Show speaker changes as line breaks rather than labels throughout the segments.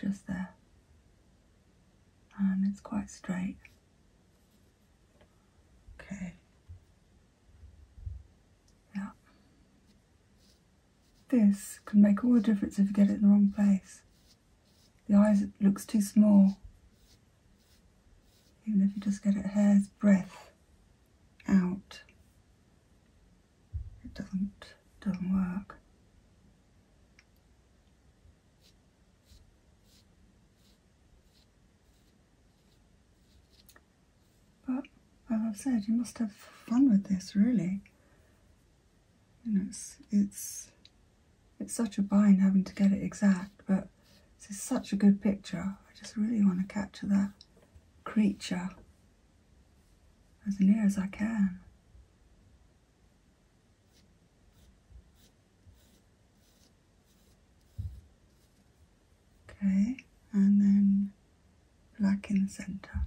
Just there. And um, it's quite straight. Okay. Yeah. This can make all the difference if you get it in the wrong place. The eyes looks too small. Even if you just get it hair's breadth out, it doesn't, doesn't work. But as I've said, you must have fun with this really it's, it's, it's such a bind having to get it exact, but this is such a good picture. I just really want to capture that creature as near as I can. Okay, and then black in the centre.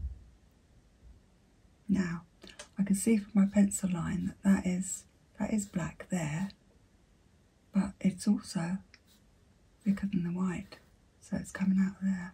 Now, I can see from my pencil line that that is, that is black there, but it's also thicker than the white, so it's coming out there.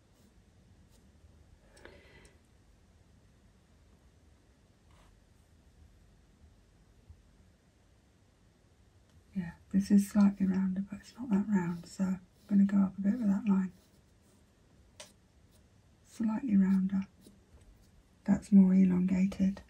Yeah, this is slightly rounder, but it's not that round, so I'm going to go up a bit with that line. Slightly rounder. That's more elongated.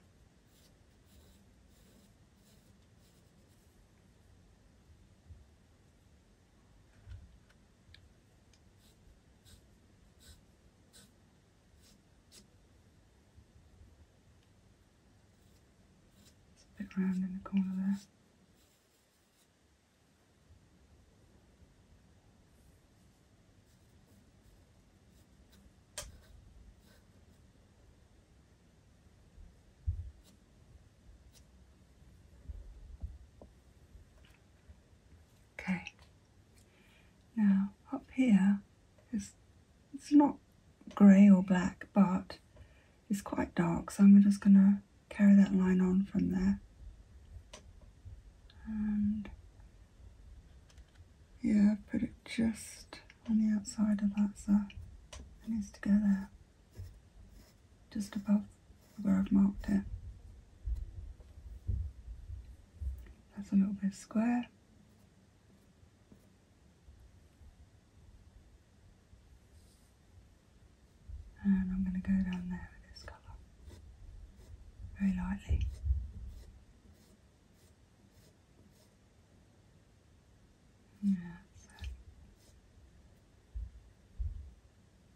It's a bit round in the corner there. Okay, now up here, it's not grey or black, but it's quite dark, so I'm just going to carry that line on from there. And yeah, put it just on the outside of that, so it needs to go there just above where I've marked it. That's a little bit square. And I'm going to go down there with this colour, very lightly. Yeah,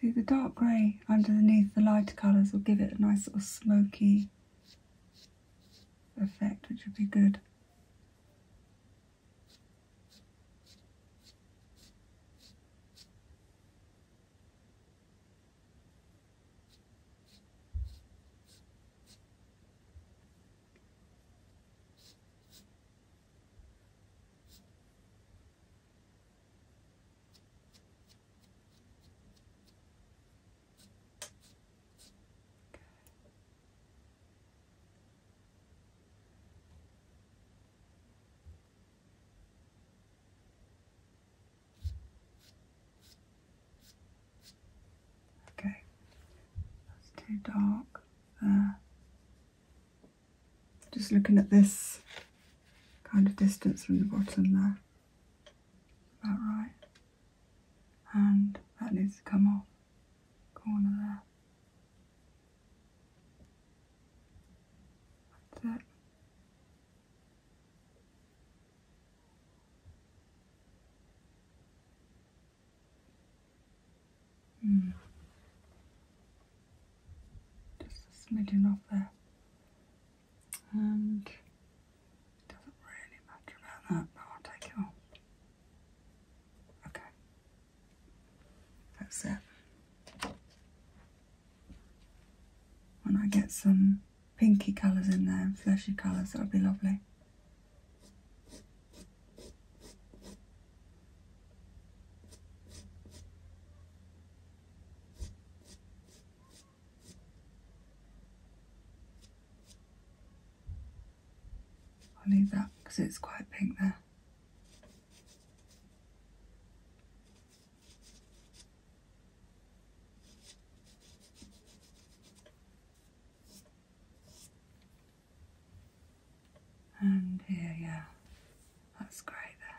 See the dark grey underneath the lighter colours will give it a nice sort of smoky effect which would be good. Okay, that's too dark there. Just looking at this kind of distance from the bottom there. About right. And that needs to come off. Corner there. That's it. Mm. Just a off there. And doesn't really matter about that, but I'll take it off. Okay. That's it. When I get some pinky colours in there and fleshy colours, that That'll be lovely. I'll leave that because it's quite pink there. And here, yeah, that's great there.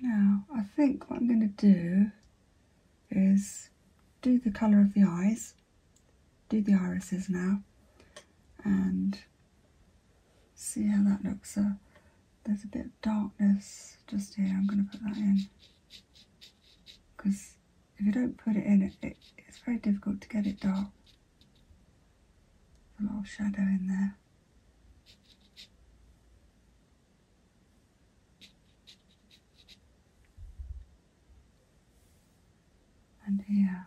Now, I think what I'm going to do is do the colour of the eyes, do the irises now, and see how that looks. So there's a bit of darkness just here, I'm going to put that in. Because if you don't put it in, it, it's very difficult to get it dark. a lot of shadow in there and here,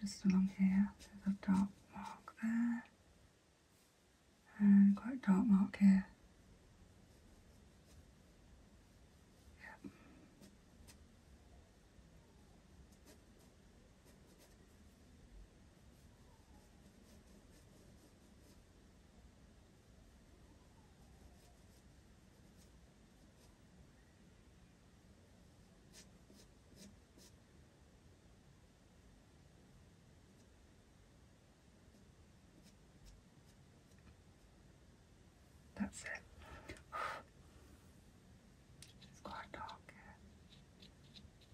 just along here, there's a dark mark there, and quite dark mark here. Yep. That's it. It's quite dark here.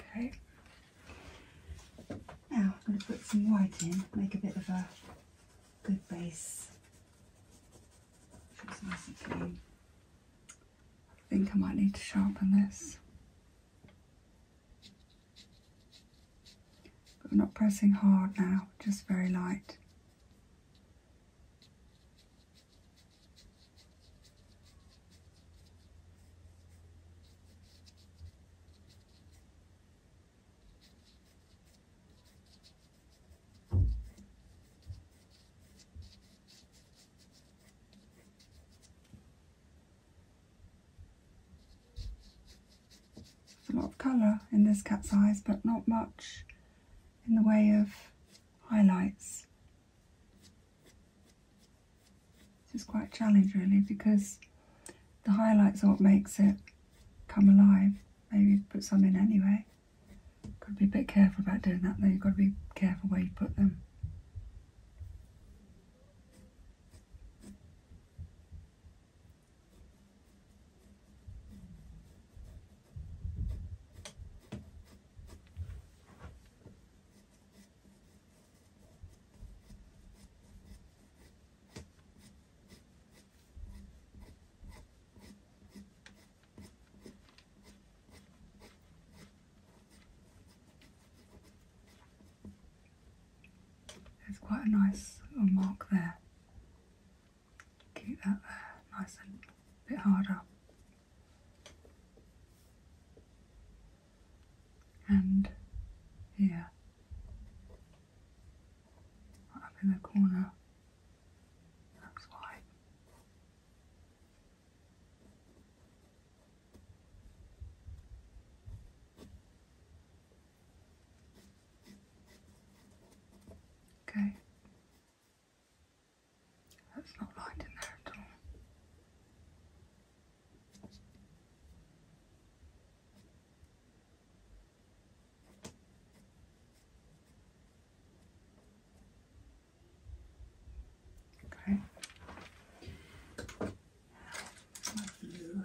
Okay. Now I'm going to put some white in, make a bit of a good base. Feels nice and clean. I think I might need to sharpen this. But I'm not pressing hard now, just very light a lot of colour in this cat's eyes, but not much in the way of highlights. It's quite a challenge really because the highlights are what makes it come alive. Maybe put some in anyway. Got to be a bit careful about doing that though. You've got to be careful where you put them. There's quite a nice little mark there. Keep that there, nice and a bit harder and here, up in the corner. That's why. Okay. That's not light in there at all. Okay. You.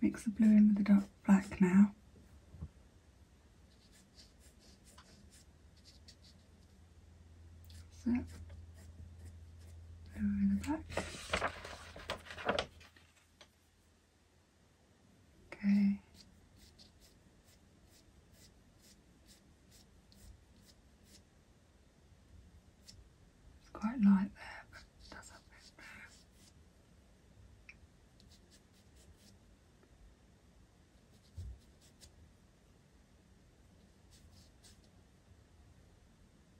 Mix the blue in with the dark black now. So over the back. Okay. It's quite light there, but it does not this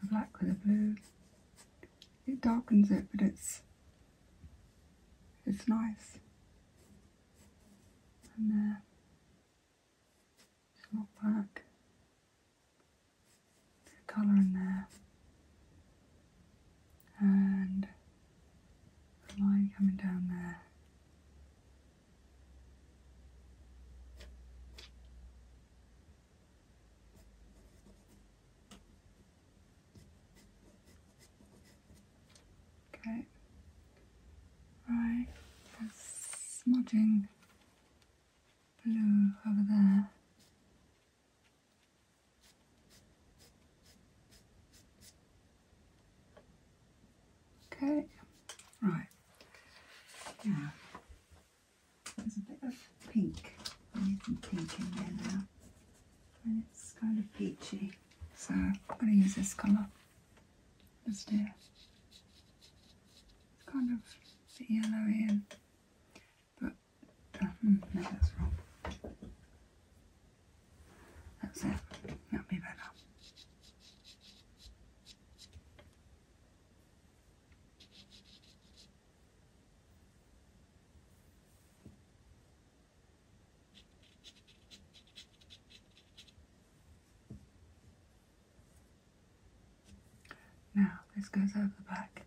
the black with the blue. It darkens it, but it's it's nice and uh, just look back colour in there and the line coming down there. Okay. Right, smudging blue over there. Okay, right. Yeah, there's a bit of pink. I need some pink in there now. And it's kind of peachy, so I'm going to use this colour. Let's do. It's kind of yellowy and but uh, no that's wrong. That's it. That'll be better. Now this goes over the back.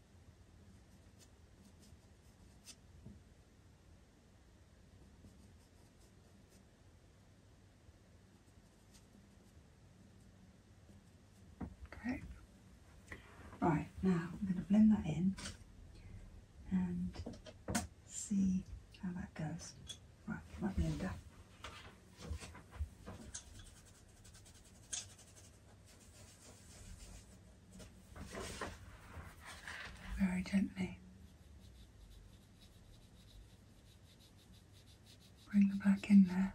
Great. Right, now I'm going to blend that in and see how that goes. Right, let me my blender very gently. Bring the back in there.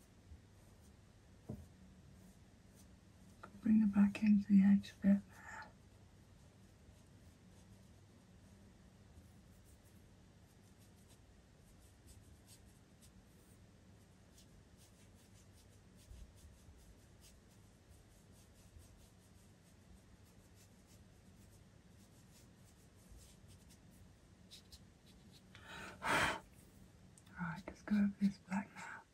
Bring it back into the edge bit Right, let's go over this black now.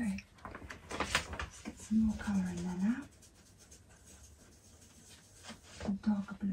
Okay, let's get some more colour in there now. Dark blue.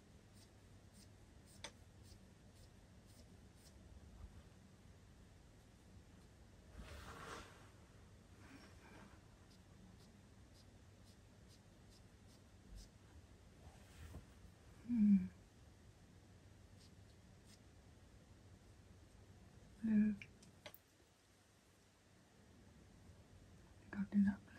Mm. Mm. I think that blue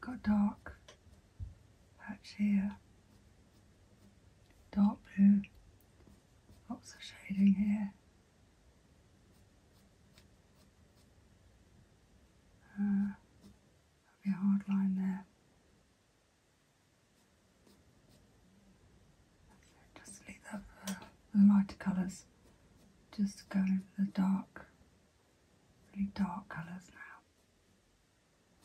got dark patch here, dark blue, lots of shading here there. Uh, that'll be a hard line there. just leave that for the lighter colours. Just go for the dark, really dark colours now.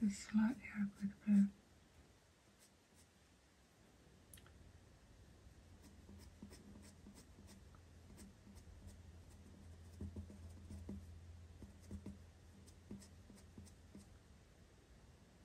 Just slightly up with blue.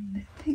and they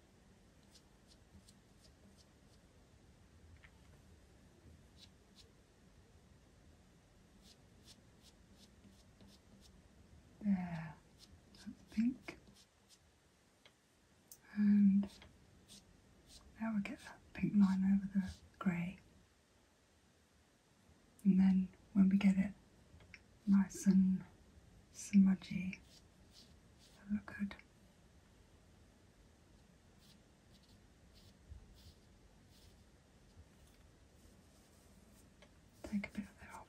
There, pink. And now we get that pink line over the grey. And then when we get it nice and smudgy avocado. Take a bit of that off.